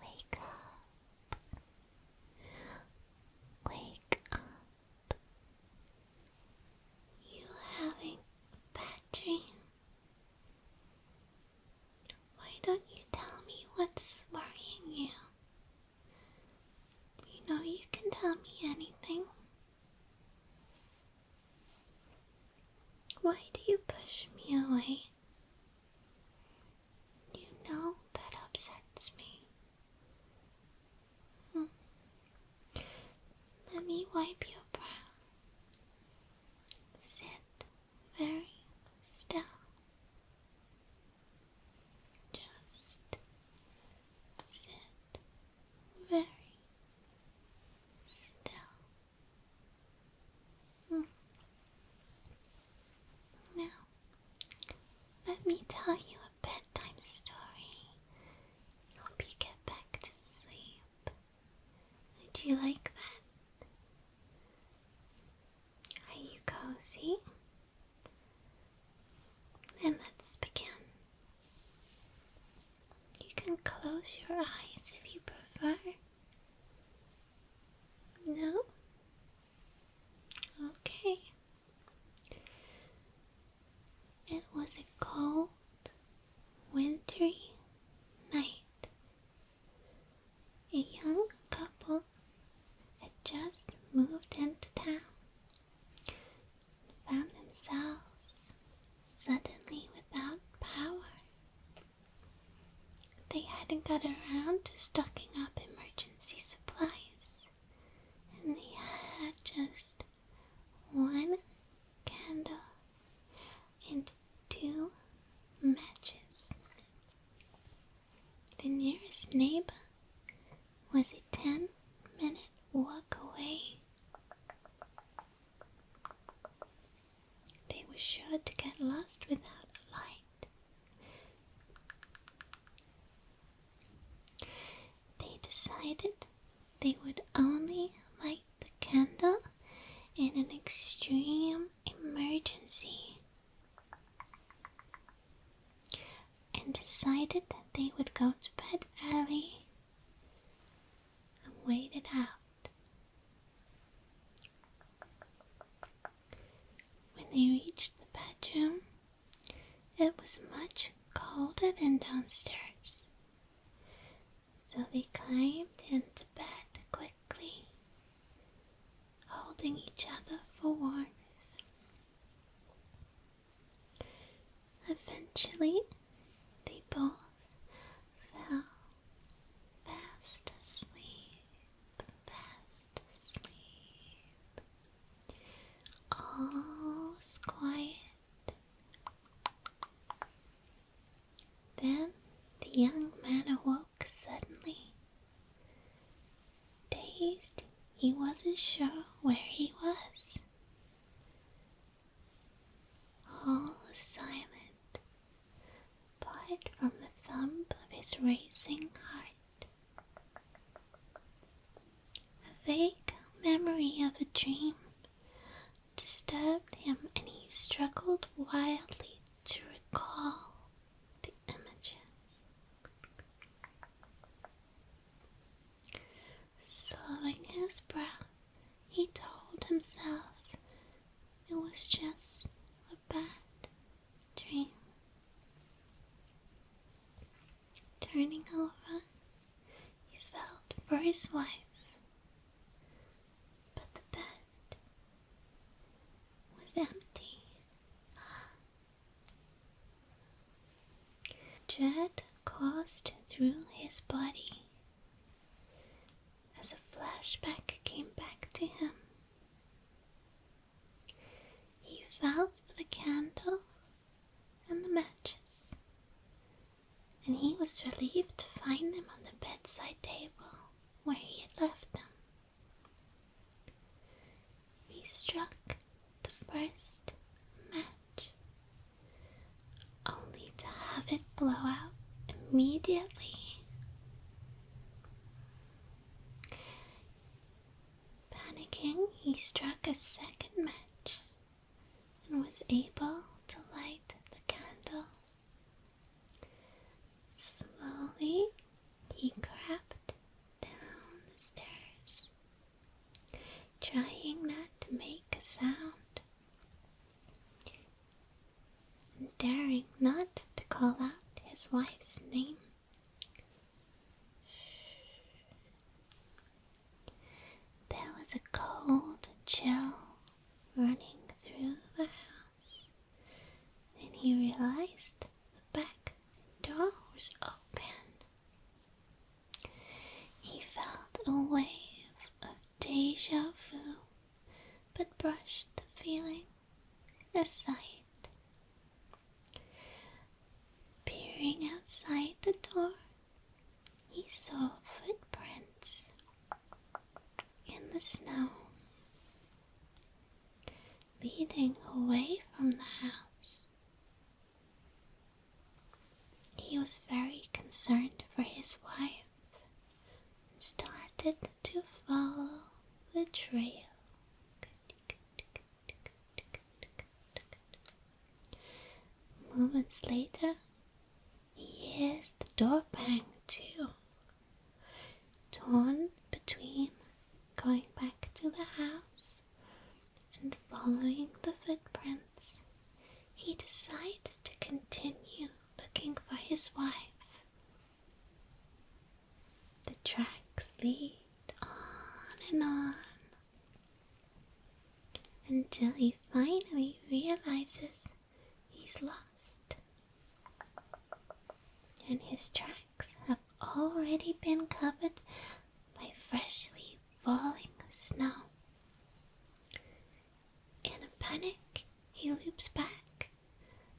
Wake up. Wake up. You having a bad dream? Why don't you tell me what's worrying you? You know you can tell me anything. Why do you push me away? You know that upsets me. Hmm. Let me wipe your brow. Sit very still. Just sit very still. Hmm. Now, let me tell you a bedtime story. Hope you get back to sleep. Would you like that? Are you cozy? Then let's begin. You can close your eyes if you prefer. No? Okay. It was a cold, wintry night. A young couple had just moved into town and found themselves suddenly without power. They hadn't got around to stocking up emergency supplies, and they had just one candle and two matches. The nearest neighbor was a ten minute walk away. They were sure to get lost without a light. They decided they would only light the candle in an extreme emergency and decided that they would go to bed early and wait it out. When they reached the bedroom, it was much colder than downstairs, so they climbed into bed quickly, holding each other for warmth. Eventually, they both fell fast asleep, fast asleep. All's quiet. Then the young man awoke suddenly. Dazed, he wasn't sure where he was all silent, apart from the thump of his racing heart. A vague memory of a dream disturbed him, and he struggled wildly to recall the image. Slowing his breath, he told himself it was just a bad dream. Turning over, he felt for his wife, but the bed was empty. Dread coursed through his body as a flashback came back to him. He felt for the candle and the matches, and he was relieved to find them on the bedside table where he had left them. He struck the first match only to have it blow out immediately. Panicking, he struck a second match and was able to light the candle. Slowly, he crept down the stairs trying not to make a sound, and daring not to call out his wife's name. There was a cold chill running through the house, Then he realized the back door was open. He felt a wave of deja vu, but brushed the feeling aside. Peering outside the door, he saw footprints in the snow leading away from the house. He was very concerned for his wife and started to follow the trail. Moments later, he hears the door bang too. Torn between going back to the house and following the footprints, he decides to continue looking for his wife. The tracks lead on and on until he finally realizes he's lost and his tracks have already been covered by freshly falling snow. In a panic, he loops back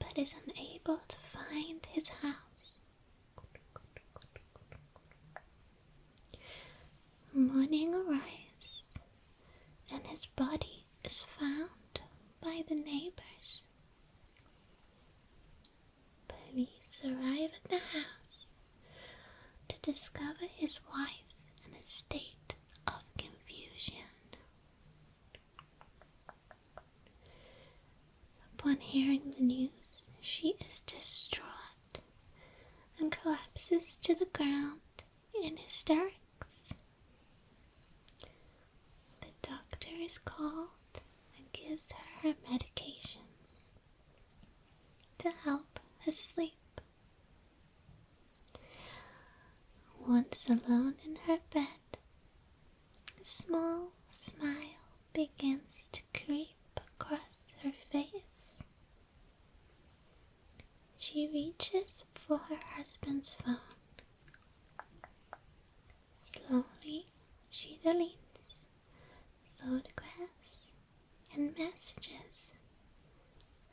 but is unable to find his house. Morning arrives, and his body is found by the neighbors police arrive at the house to discover his wife in a state of confusion. Upon hearing the news, she is distraught and collapses to the ground in hysterics. The doctor is called and gives her her medication to help her sleep. Once alone in her bed, a small smile begins to creep across her face. She reaches for her husband's phone. Slowly, she deletes photographs, and messages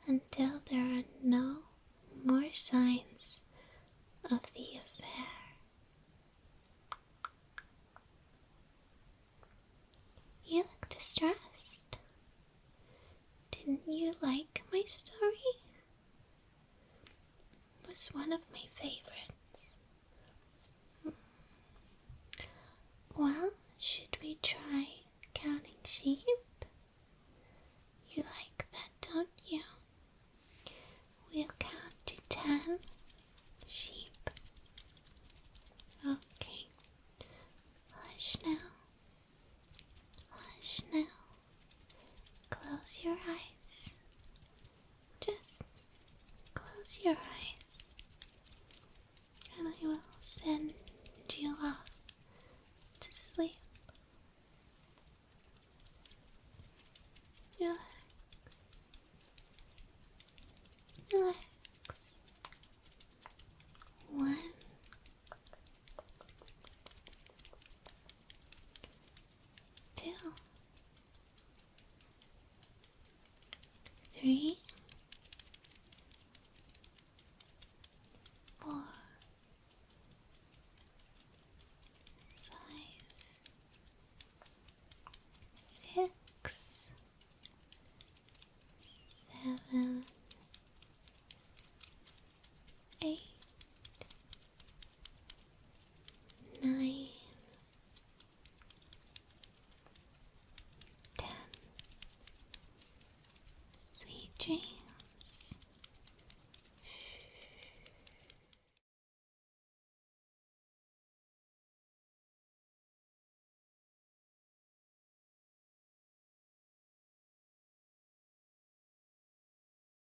until there are no more signs of the affair. You look distressed. Didn't you like my story? was one of my favorites. Hmm. Well, should we try counting sheep? You like that, don't you? We'll count to ten sheep. Okay. Hush now. Hush now. Close your eyes. Just close your eyes, and I will send you off to sleep. Relax. Relax. One. Two three, four, five, six, seven, eight nine, ten. Sweet dreams.